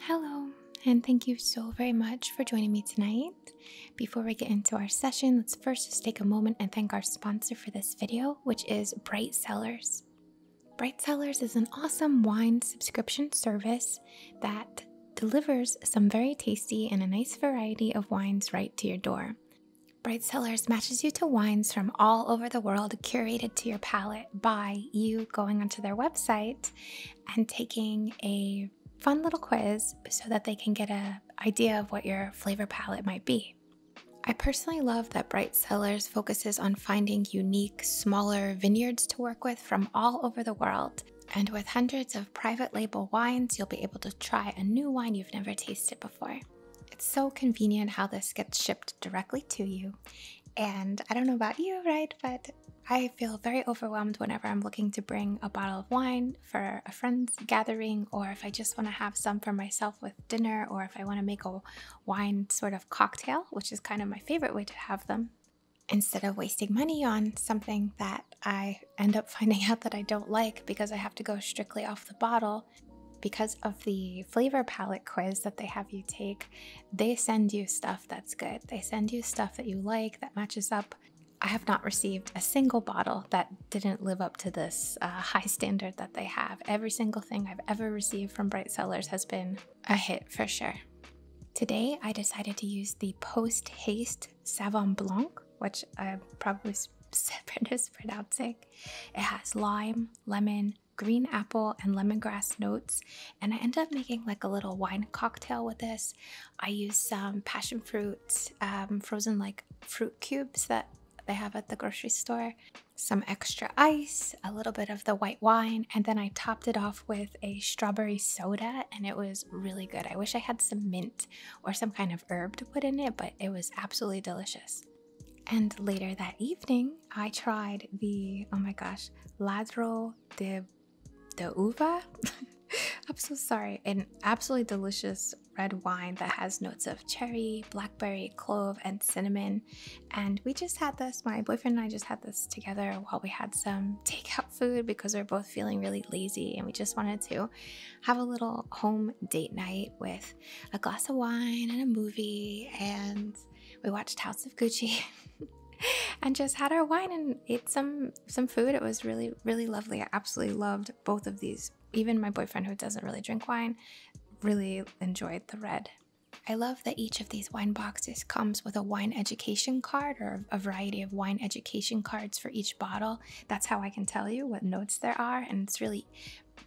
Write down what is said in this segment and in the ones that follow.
Hello, and thank you so very much for joining me tonight. Before we get into our session, let's first just take a moment and thank our sponsor for this video, which is Bright Cellars. Bright Cellars is an awesome wine subscription service that delivers some very tasty and a nice variety of wines right to your door. Bright Cellars matches you to wines from all over the world curated to your palate by you going onto their website and taking a fun little quiz so that they can get an idea of what your flavor palette might be. I personally love that Bright Cellars focuses on finding unique, smaller vineyards to work with from all over the world. And with hundreds of private label wines, you'll be able to try a new wine you've never tasted before. It's so convenient how this gets shipped directly to you. And I don't know about you, right? But I feel very overwhelmed whenever I'm looking to bring a bottle of wine for a friend's gathering, or if I just want to have some for myself with dinner, or if I want to make a wine sort of cocktail, which is kind of my favorite way to have them, instead of wasting money on something that I end up finding out that I don't like because I have to go strictly off the bottle. Because of the flavor palette quiz that they have you take, they send you stuff that's good. They send you stuff that you like that matches up. I have not received a single bottle that didn't live up to this uh, high standard that they have. Every single thing I've ever received from Bright Sellers has been a hit for sure. Today, I decided to use the Post Haste Savon Blanc, which I'm probably probably mispronouncing. It has lime, lemon, green apple and lemongrass notes and I end up making like a little wine cocktail with this. I use some passion fruit, um, frozen like fruit cubes that they have at the grocery store, some extra ice, a little bit of the white wine, and then I topped it off with a strawberry soda and it was really good. I wish I had some mint or some kind of herb to put in it, but it was absolutely delicious. And later that evening, I tried the, oh my gosh, Ladro de, de Uva. I'm so sorry. An absolutely delicious red wine that has notes of cherry, blackberry, clove, and cinnamon. And we just had this, my boyfriend and I just had this together while we had some takeout food because we are both feeling really lazy and we just wanted to have a little home date night with a glass of wine and a movie and we watched House of Gucci and just had our wine and ate some some food. It was really really lovely. I absolutely loved both of these. Even my boyfriend who doesn't really drink wine really enjoyed the red. I love that each of these wine boxes comes with a wine education card or a variety of wine education cards for each bottle. That's how I can tell you what notes there are and it's really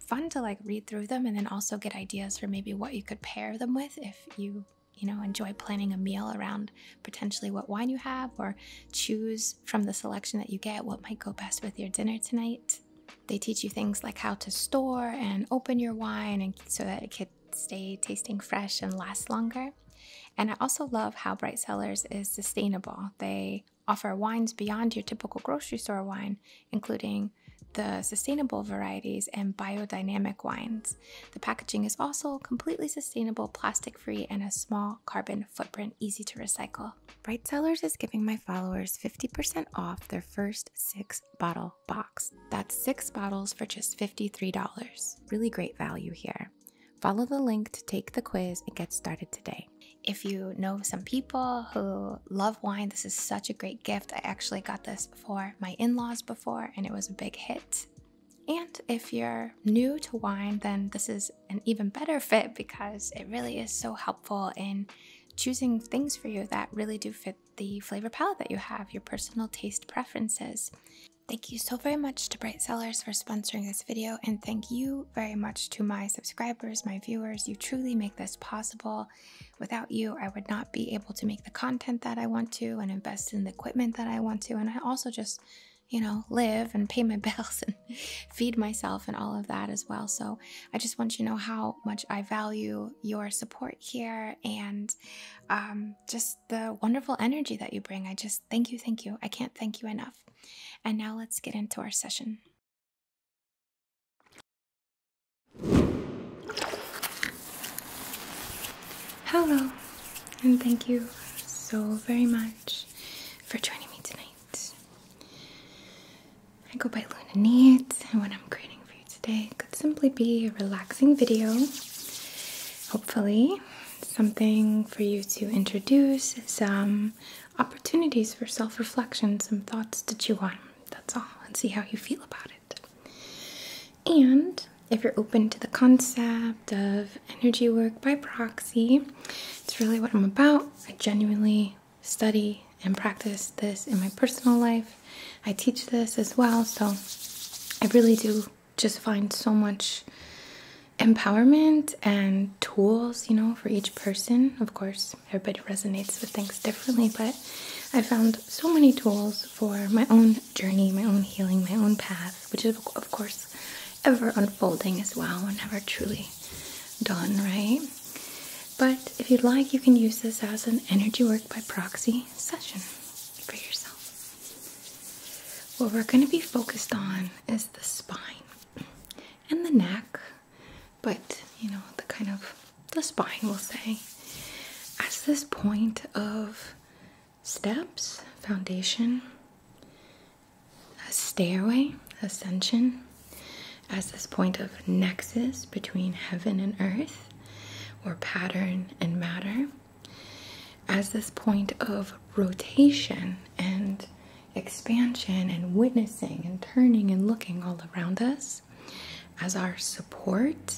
fun to like read through them and then also get ideas for maybe what you could pair them with if you you know enjoy planning a meal around potentially what wine you have or choose from the selection that you get what might go best with your dinner tonight they teach you things like how to store and open your wine and so that it could stay tasting fresh and last longer and i also love how bright cellars is sustainable they offer wines beyond your typical grocery store wine including the sustainable varieties and biodynamic wines. The packaging is also completely sustainable, plastic free, and a small carbon footprint, easy to recycle. Bright Sellers is giving my followers 50% off their first six bottle box. That's six bottles for just $53. Really great value here. Follow the link to take the quiz and get started today. If you know some people who love wine, this is such a great gift. I actually got this for my in laws before, and it was a big hit. And if you're new to wine, then this is an even better fit because it really is so helpful in choosing things for you that really do fit the flavor palette that you have, your personal taste preferences. Thank you so very much to Bright Sellers for sponsoring this video, and thank you very much to my subscribers, my viewers. You truly make this possible. Without you, I would not be able to make the content that I want to and invest in the equipment that I want to. And I also just, you know, live and pay my bills and feed myself and all of that as well. So I just want you to know how much I value your support here and um, just the wonderful energy that you bring. I just thank you, thank you. I can't thank you enough. And now let's get into our session. Hello, and thank you so very much for joining me tonight. I go by Luna Neat, and what I'm creating for you today could simply be a relaxing video. Hopefully, something for you to introduce, some opportunities for self reflection, some thoughts to chew on. That's all, and see how you feel about it. And if you're open to the concept of energy work by proxy, it's really what I'm about. I genuinely study and practice this in my personal life. I teach this as well, so I really do just find so much empowerment and tools, you know, for each person. Of course, everybody resonates with things differently, but I found so many tools for my own journey, my own healing, my own path, which is, of course, ever unfolding as well and never truly done, right? But if you'd like, you can use this as an energy work by proxy session for yourself. What we're going to be focused on is the spine and the neck but you know, the kind of the spine will say. as this point of steps, foundation, a stairway, ascension, as this point of nexus between heaven and earth, or pattern and matter, as this point of rotation and expansion and witnessing and turning and looking all around us as our support,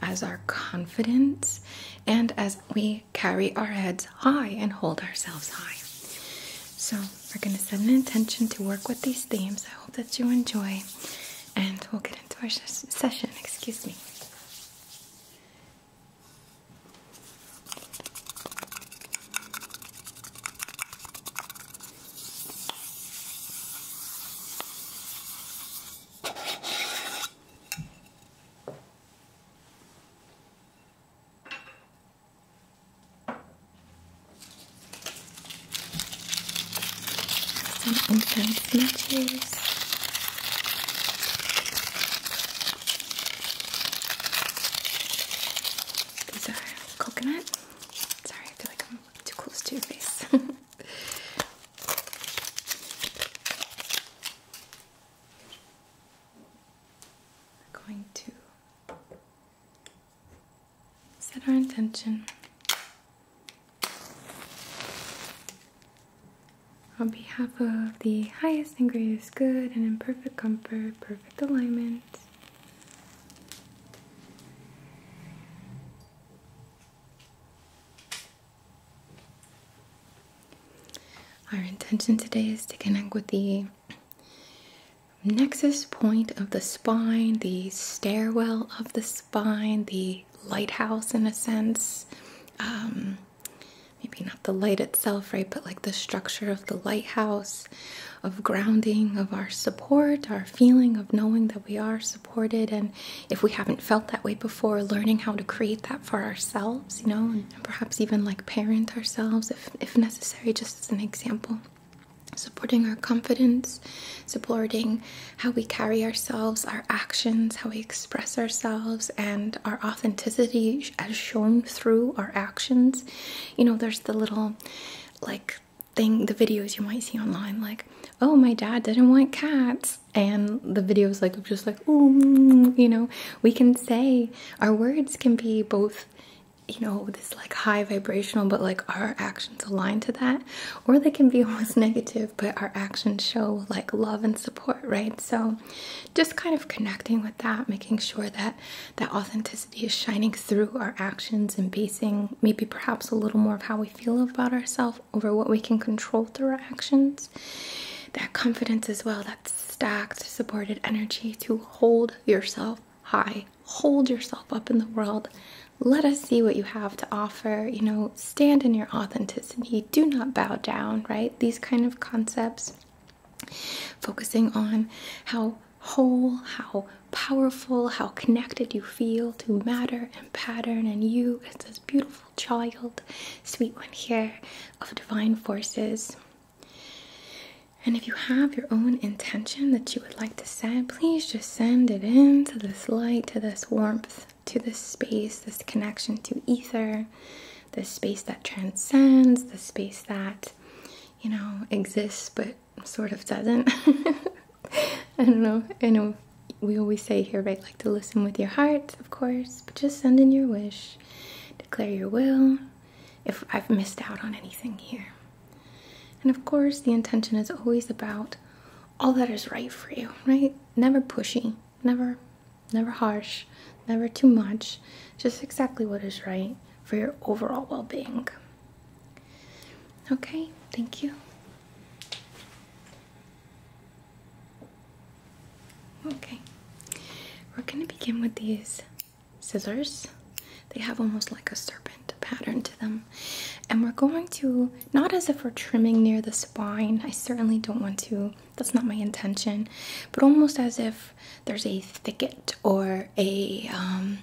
as our confidence, and as we carry our heads high and hold ourselves high. So, we're going to set an intention to work with these themes. I hope that you enjoy, and we'll get into our session. Excuse me. Some unfound matches. These are coconut. Sorry, I feel like I'm too close to your face. We're going to set our intention on behalf of the highest and greatest good and in perfect comfort, perfect alignment. Our intention today is to connect with the nexus point of the spine, the stairwell of the spine, the lighthouse in a sense. Um, maybe not the light itself, right? But like the structure of the lighthouse of grounding, of our support, our feeling of knowing that we are supported. And if we haven't felt that way before, learning how to create that for ourselves, you know, and perhaps even like parent ourselves if, if necessary, just as an example. Supporting our confidence, supporting how we carry ourselves, our actions, how we express ourselves, and our authenticity as shown through our actions. You know, there's the little like thing the videos you might see online like oh my dad didn't want cats and the videos like just like oh you know we can say our words can be both you know this like high vibrational but like our actions align to that or they can be almost negative but our actions show like love and support right so just kind of connecting with that making sure that that authenticity is shining through our actions and basing maybe perhaps a little more of how we feel about ourselves over what we can control through our actions. That confidence as well, that stacked, supported energy to hold yourself high, hold yourself up in the world. Let us see what you have to offer. You know, stand in your authenticity. Do not bow down, right? These kind of concepts focusing on how whole, how powerful, how connected you feel to matter and pattern and you as this beautiful child, sweet one here of divine forces. And if you have your own intention that you would like to send, please just send it in to this light, to this warmth, to this space, this connection to ether, this space that transcends, this space that, you know, exists but sort of doesn't. I don't know. I know we always say here, right? Like to listen with your heart, of course, but just send in your wish, declare your will if I've missed out on anything here. And of course, the intention is always about all that is right for you, right? Never pushy, never never harsh, never too much, just exactly what is right for your overall well-being. Okay, thank you. Okay, we're gonna begin with these scissors. They have almost like a serpent pattern to them. And we're going to, not as if we're trimming near the spine, I certainly don't want to, that's not my intention, but almost as if there's a thicket or a um,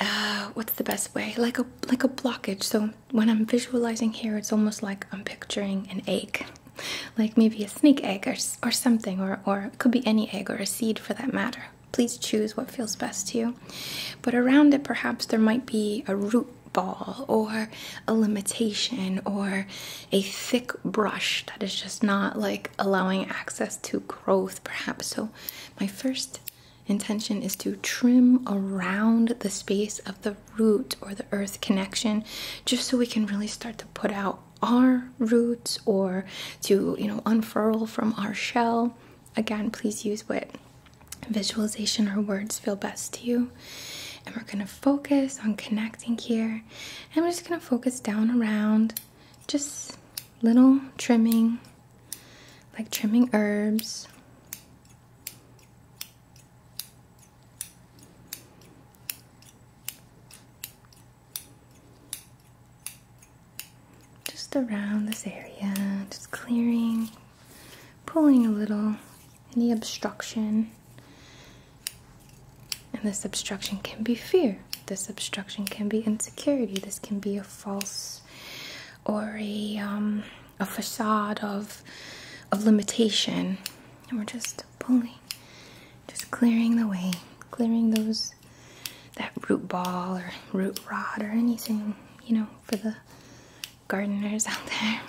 uh, what's the best way? Like a like a blockage. So when I'm visualizing here, it's almost like I'm picturing an egg, like maybe a snake egg or or something, or or it could be any egg or a seed for that matter. Please choose what feels best to you. But around it, perhaps there might be a root ball or a limitation or a thick brush that is just not like allowing access to growth perhaps so my first intention is to trim around the space of the root or the earth connection just so we can really start to put out our roots or to, you know, unfurl from our shell. Again, please use what visualization or words feel best to you. And we're going to focus on connecting here. And we're just going to focus down around just little trimming, like trimming herbs. Just around this area, just clearing, pulling a little, any obstruction. And this obstruction can be fear. This obstruction can be insecurity. This can be a false or a um, a facade of of limitation, and we're just pulling, just clearing the way, clearing those that root ball or root rod or anything you know for the gardeners out there.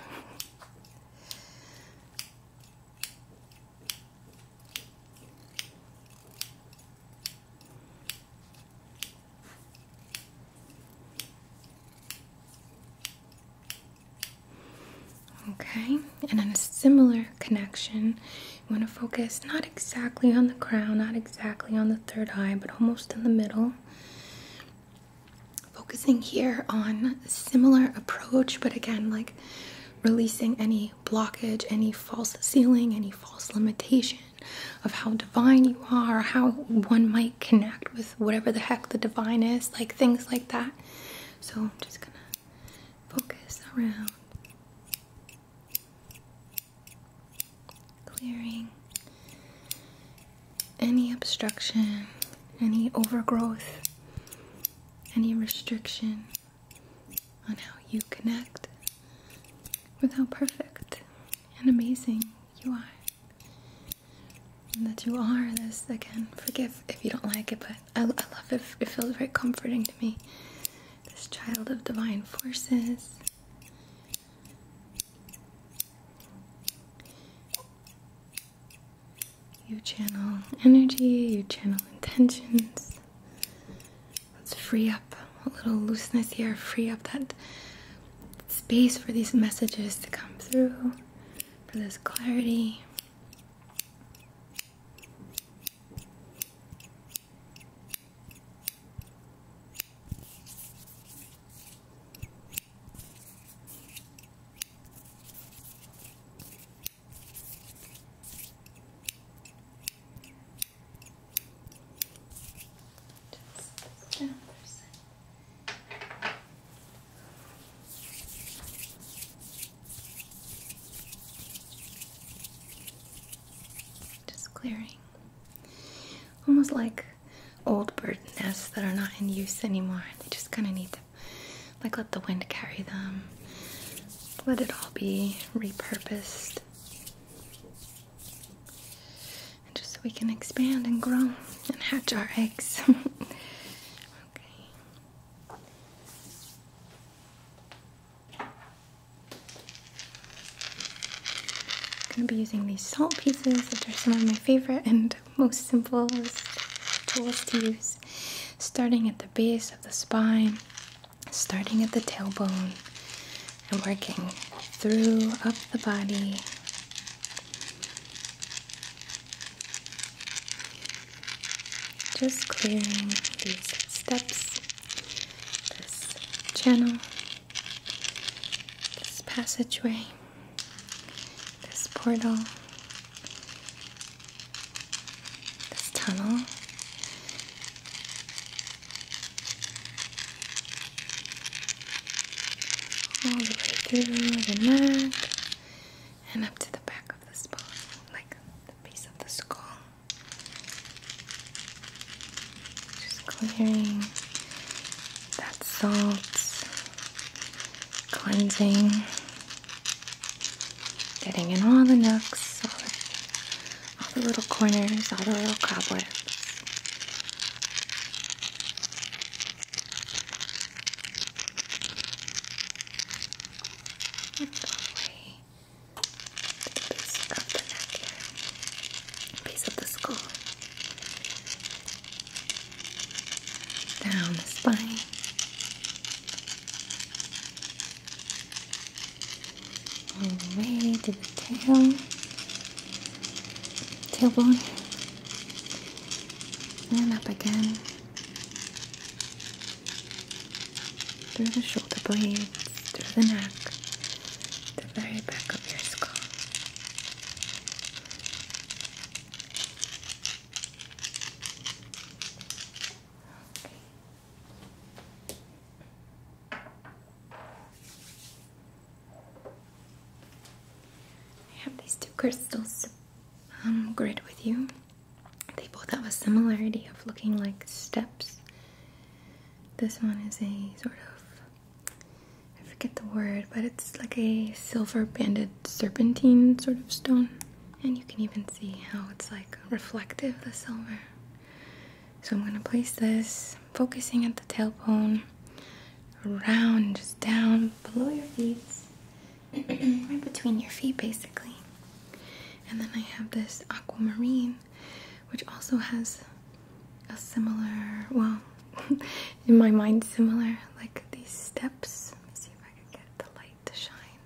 Okay, and on a similar connection, you want to focus not exactly on the crown, not exactly on the third eye, but almost in the middle. Focusing here on similar approach, but again, like releasing any blockage, any false ceiling, any false limitation of how divine you are, how one might connect with whatever the heck the divine is, like things like that. So I'm just gonna focus around clearing any obstruction, any overgrowth, any restriction on how you connect with how perfect and amazing you are. And that you are this again. Forgive if you don't like it, but I, I love it. It feels very comforting to me. This child of divine forces. You channel energy, you channel intentions, Let's free up a little looseness here, free up that space for these messages to come through, for this clarity. Just clearing. Almost like old bird nests that are not in use anymore. They just kind of need to, like, let the wind carry them let it all be repurposed. just so we can expand and grow and hatch our eggs. okay. I'm going to be using these salt pieces, which are some of my favorite and most simplest tools to use. Starting at the base of the spine, starting at the tailbone and working through up the body. Just clearing these steps, this channel, this passageway, this portal, this tunnel. All the way through the neck and up to the back of the spine, like the base of the skull. Just clearing that salt, cleansing Getting in all the nooks, all the, little corners, all the little cobwebs. let of the neck here, of the skull, down the spine, all the way to the tail, tailbone, and up again through the shoulder blades, through the neck, the very back of your skull. Okay. I have these two crystals um, grid with you. They both have a similarity of looking like steps. This one is a sort of, I forget the word, but it's like a silver banded serpentine sort of stone. And you can even see how it's like reflective, the silver. So I'm going to place this, focusing at the tailbone, around, just down, below your feet, right between your feet basically. And then I have this aquamarine, which also has a similar, well, in my mind, similar, like these steps. see if I can get the light to shine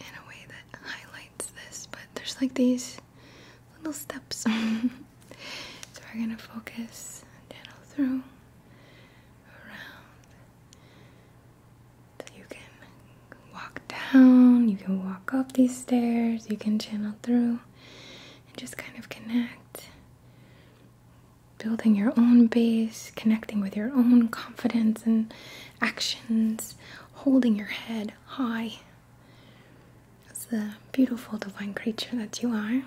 in a way that highlights this, but there's like these little steps. so we're gonna focus channel through around you can walk down, you can walk up these stairs, you can channel through and just kind of connect. Building your own base, connecting with your own confidence and actions, holding your head high as the beautiful divine creature that you are. And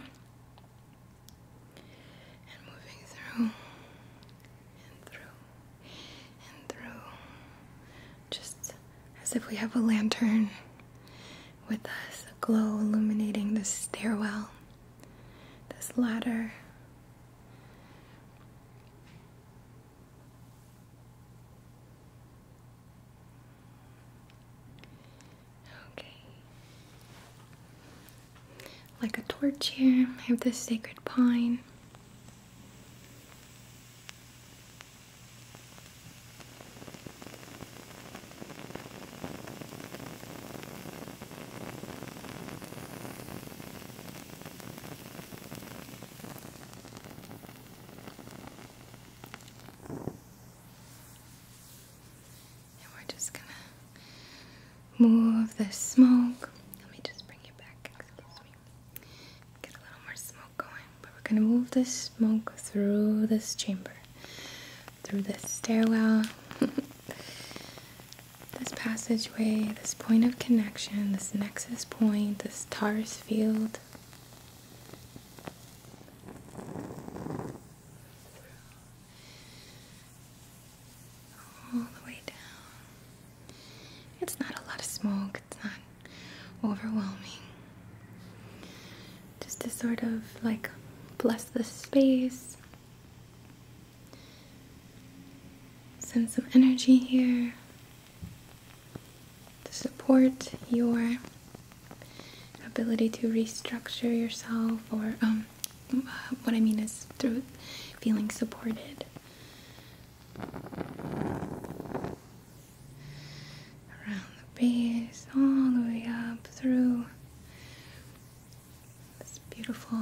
moving through and through and through. Just as if we have a lantern with us, a glow illuminating this stairwell, this ladder Okay. Like a torch here, I have this sacred pine. And we're just gonna move the smoke. Let me just bring it back. Get a little more smoke going. But we're gonna move the smoke through this chamber, through this stairwell. this passageway, this point of connection, this nexus point, this TARS field. All the way down. It's not a lot of smoke, it's not overwhelming. Just to sort of like bless the space, Send some energy here to support your ability to restructure yourself, or um, uh, what I mean is through feeling supported. Around the base, all the way up through this beautiful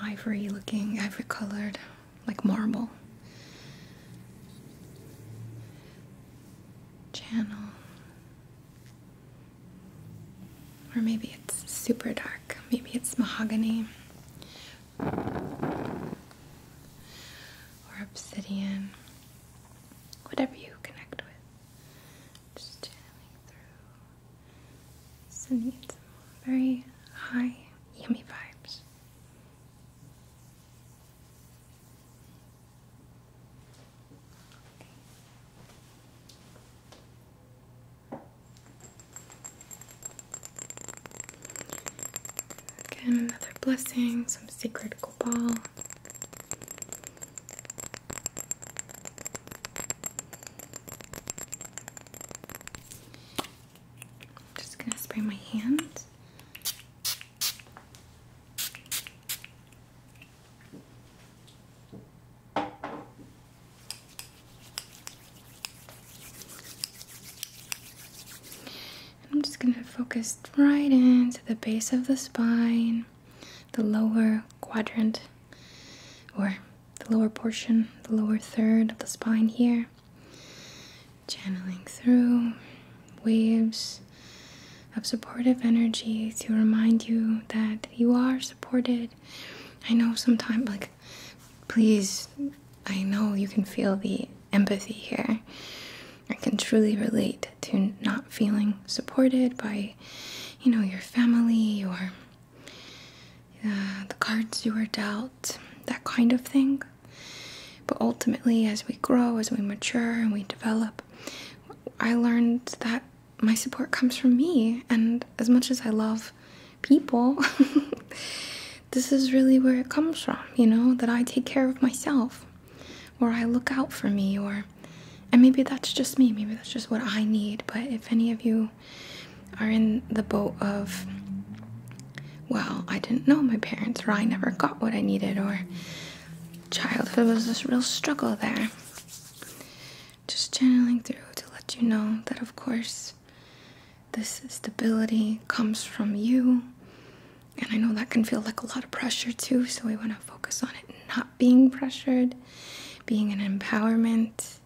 ivory looking, ivory colored, like marble channel. Or maybe it's super dark, maybe it's mahogany or obsidian, whatever you connect with. Just channeling through sending it some very high, yummy vibes. Again, another blessing, some secret cobalt. I'm just gonna spray my hand. I'm just going to focus right into the base of the spine the lower quadrant or the lower portion, the lower third of the spine here. Channeling through waves of supportive energy to remind you that you are supported. I know sometimes, like, please, I know you can feel the empathy here. I can truly relate to not feeling supported by, you know, your family or the cards you were dealt, that kind of thing. But ultimately, as we grow, as we mature, and we develop, I learned that my support comes from me. And as much as I love people, this is really where it comes from, you know, that I take care of myself, or I look out for me, or and maybe that's just me, maybe that's just what I need. But if any of you are in the boat of, well, I didn't know my parents, or I never got what I needed, or childhood was this real struggle there, just channeling through to let you know that, of course, this stability comes from you. And I know that can feel like a lot of pressure too, so we want to focus on it not being pressured being an empowerment,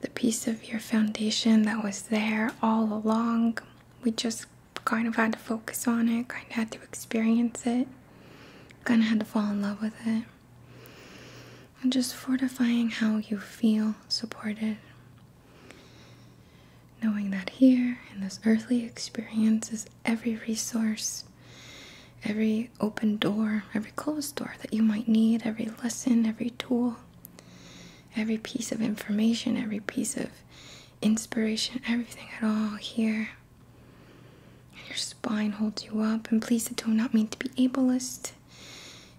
the piece of your foundation that was there all along. We just kind of had to focus on it, kind of had to experience it, kind of had to fall in love with it. And just fortifying how you feel supported. Knowing that here in this earthly experience is every resource every open door, every closed door that you might need, every lesson, every tool, every piece of information, every piece of inspiration, everything at all here. your spine holds you up. And please, don't not mean to be ableist.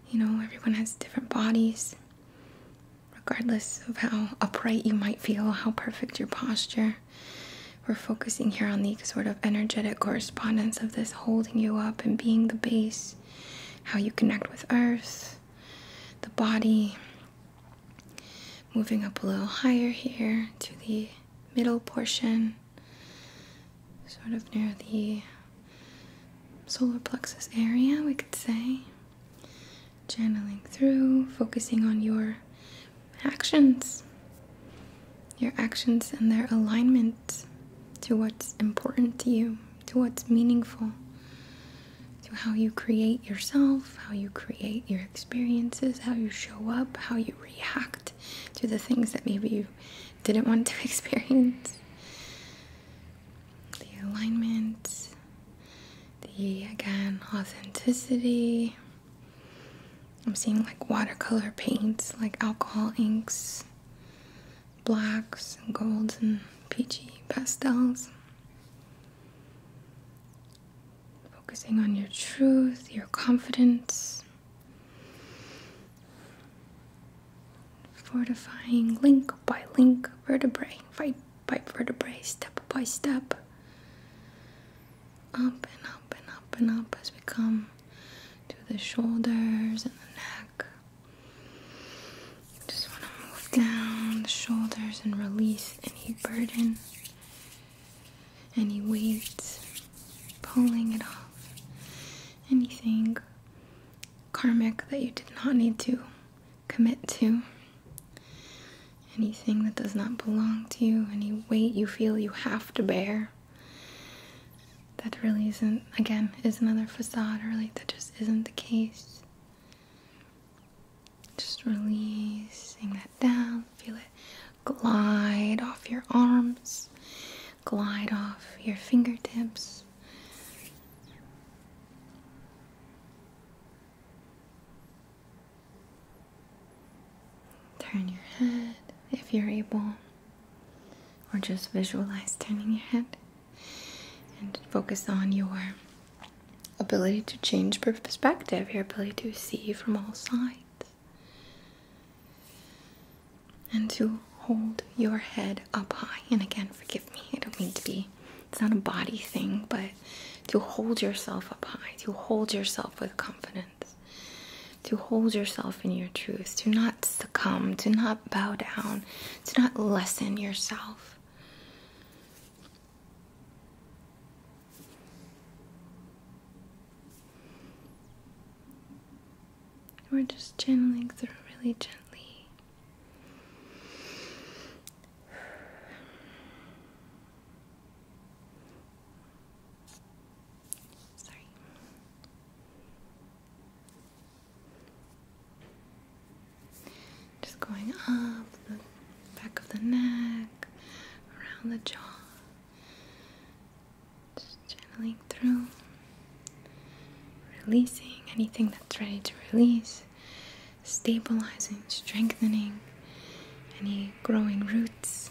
You know, everyone has different bodies. Regardless of how upright you might feel, how perfect your posture, we're focusing here on the sort of energetic correspondence of this holding you up and being the base, how you connect with earth, the body. Moving up a little higher here to the middle portion, sort of near the solar plexus area, we could say. Channeling through, focusing on your actions. Your actions and their alignment to what's important to you, to what's meaningful, to how you create yourself, how you create your experiences, how you show up, how you react to the things that maybe you didn't want to experience. The alignment, the again, authenticity. I'm seeing like watercolor paints, like alcohol inks, blacks and golds and peachy pastels. Focusing on your truth, your confidence, fortifying link by link, vertebrae by, by vertebrae, step by step up and up and up and up as we come to the shoulders and the neck. Just want to move down the shoulders and release any burden, any weight, pulling it off, anything karmic that you did not need to commit to. Anything that does not belong to you, any weight you feel you have have to bear that really isn't again is another facade Really, that just isn't the case just releasing that down feel it glide off your arms glide off your fingertips Turn your head if you're able, or just visualize turning your head and focus on your ability to change perspective, your ability to see from all sides, and to hold your head up high. And again, forgive me, I don't mean to be, it's not a body thing, but to hold yourself up high, to hold yourself with confidence truth, to hold yourself in your truth, to not succumb, to not bow down, to not lessen yourself. We're just channeling through really gently. Just going up the back of the neck, around the jaw, just channeling through, releasing anything that's ready to release, stabilizing, strengthening any growing roots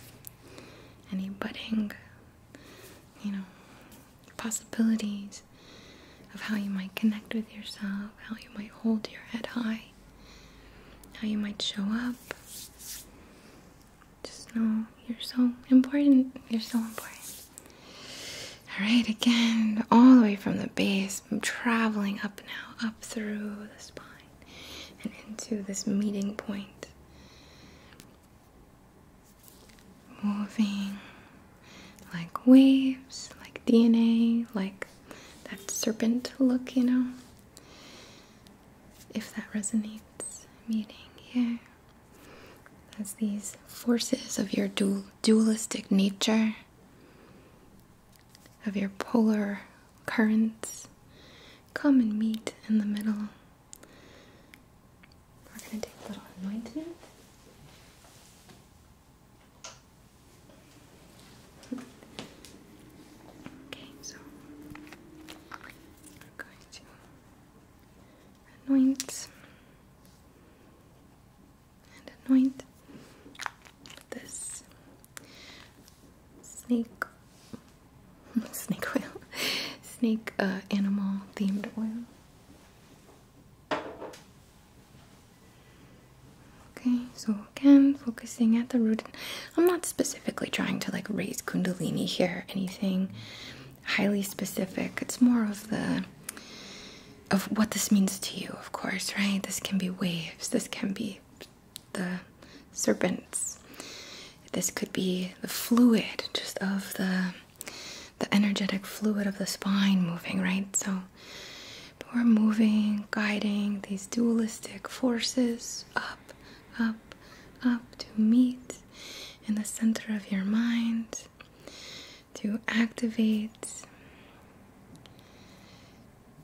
any budding, you know, possibilities of how you might connect with yourself, how you might hold your head high, how you might show up. Just know you're so important. You're so important. All right, again, all the way from the base, I'm traveling up now, up through the spine and into this meeting point. Moving like waves, like DNA, like that serpent look, you know. If that resonates, meeting here as these forces of your dual dualistic nature of your polar currents come and meet in the middle. We're going to take a little anointment. Okay, so we're going to anoint and anoint this snake snake oil snake uh, animal themed oil okay so again focusing at the root i'm not specifically trying to like raise kundalini here anything highly specific it's more of the of what this means to you of course right this can be waves this can be the serpents. This could be the fluid just of the the energetic fluid of the spine moving, right? So we're moving, guiding these dualistic forces up, up, up to meet in the center of your mind, to activate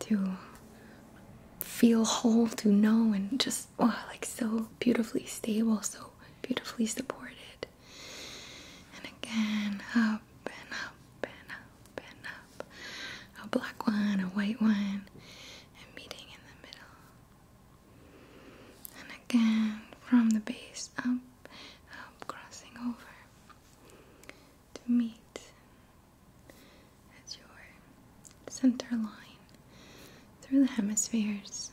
to feel whole, to know, and just oh, like so beautifully stable, so beautifully supported. And again, up and up and up and up. A black one, a white one, and meeting in the middle. And again, from the base up, up, crossing over to meet at your center line through the hemispheres.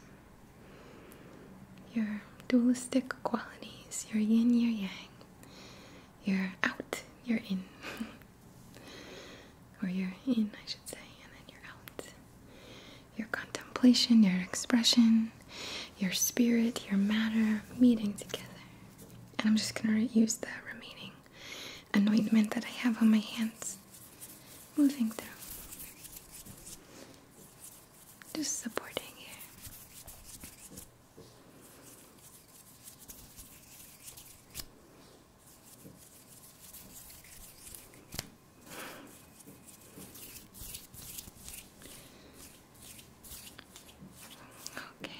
Your dualistic qualities, your yin, your yang, you're out, you're in, or you're in, I should say, and then you're out. Your contemplation, your expression, your spirit, your matter meeting together. And I'm just going to use that remaining anointment that I have on my hands. Moving through. Just supporting here. Okay.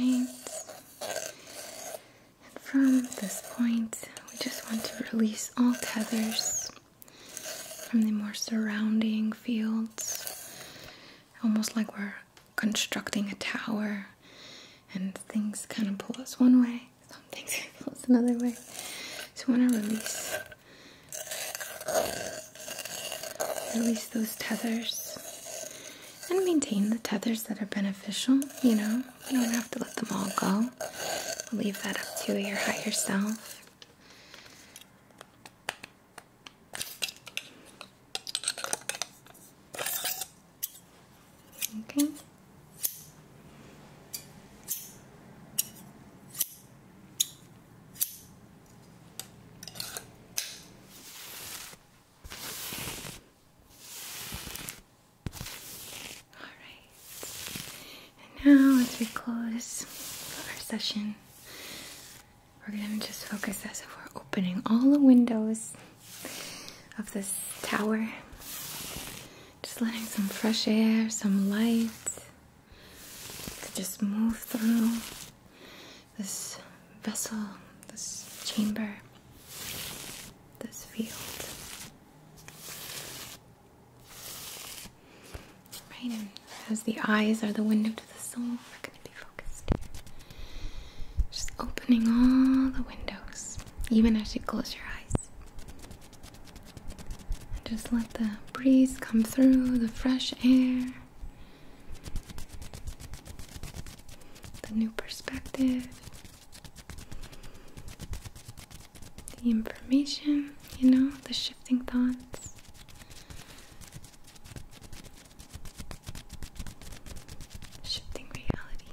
Right. from this point, we just want to release all tethers from the more surrounding fields, almost like we're constructing a tower and things kind of pull us one way some things flows another way. So want to release, release those tethers, and maintain the tethers that are beneficial. You know, you don't have to let them all go. leave that up to your higher self. Okay. Alright, and now as we close our session, we're going to just focus as if we're opening all the windows of this tower just letting some fresh air, some light just move through this vessel, this chamber, this field. Right, and as the eyes are the window to the soul, we're going to be focused Just opening all the windows, even as you close your eyes. And just let the breeze come through, the fresh air, the new perspective, the information, you know, the shifting thoughts. Shifting reality.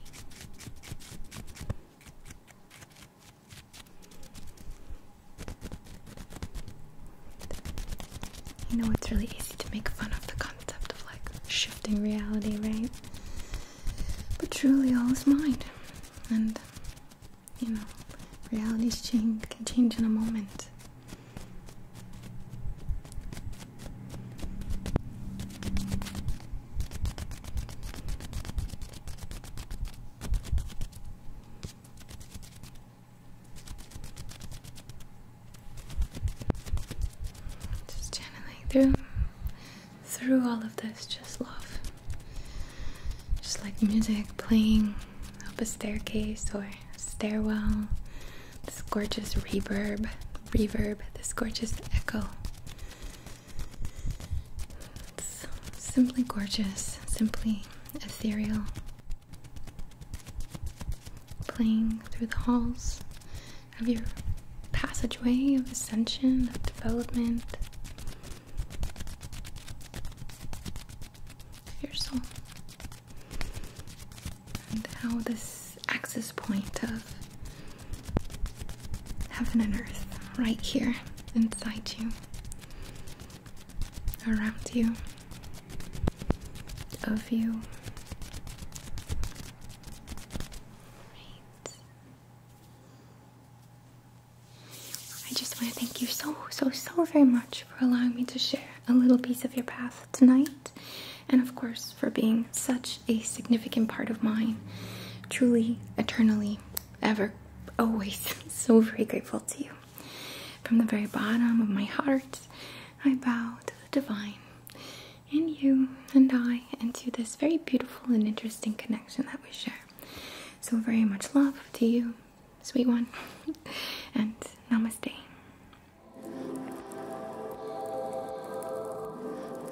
You know, it's really easy to make fun of the concept of like shifting reality, right? But truly, all is mind. And, you know, realities change, can change in a moment. Just channeling through through all of this, just love. Just like music playing up a staircase or stairwell. This gorgeous reverb, reverb, this gorgeous echo simply gorgeous, simply ethereal. Playing through the halls of your passageway of ascension, of development, of your soul. And how this access point of Heaven and earth, right here, inside you, around you, of you. Right. I just want to thank you so, so, so very much for allowing me to share a little piece of your path tonight, and of course, for being such a significant part of mine, truly, eternally ever, always so very grateful to you. From the very bottom of my heart, I bow to the divine and you and I and to this very beautiful and interesting connection that we share. So, very much love to you, sweet one, and namaste.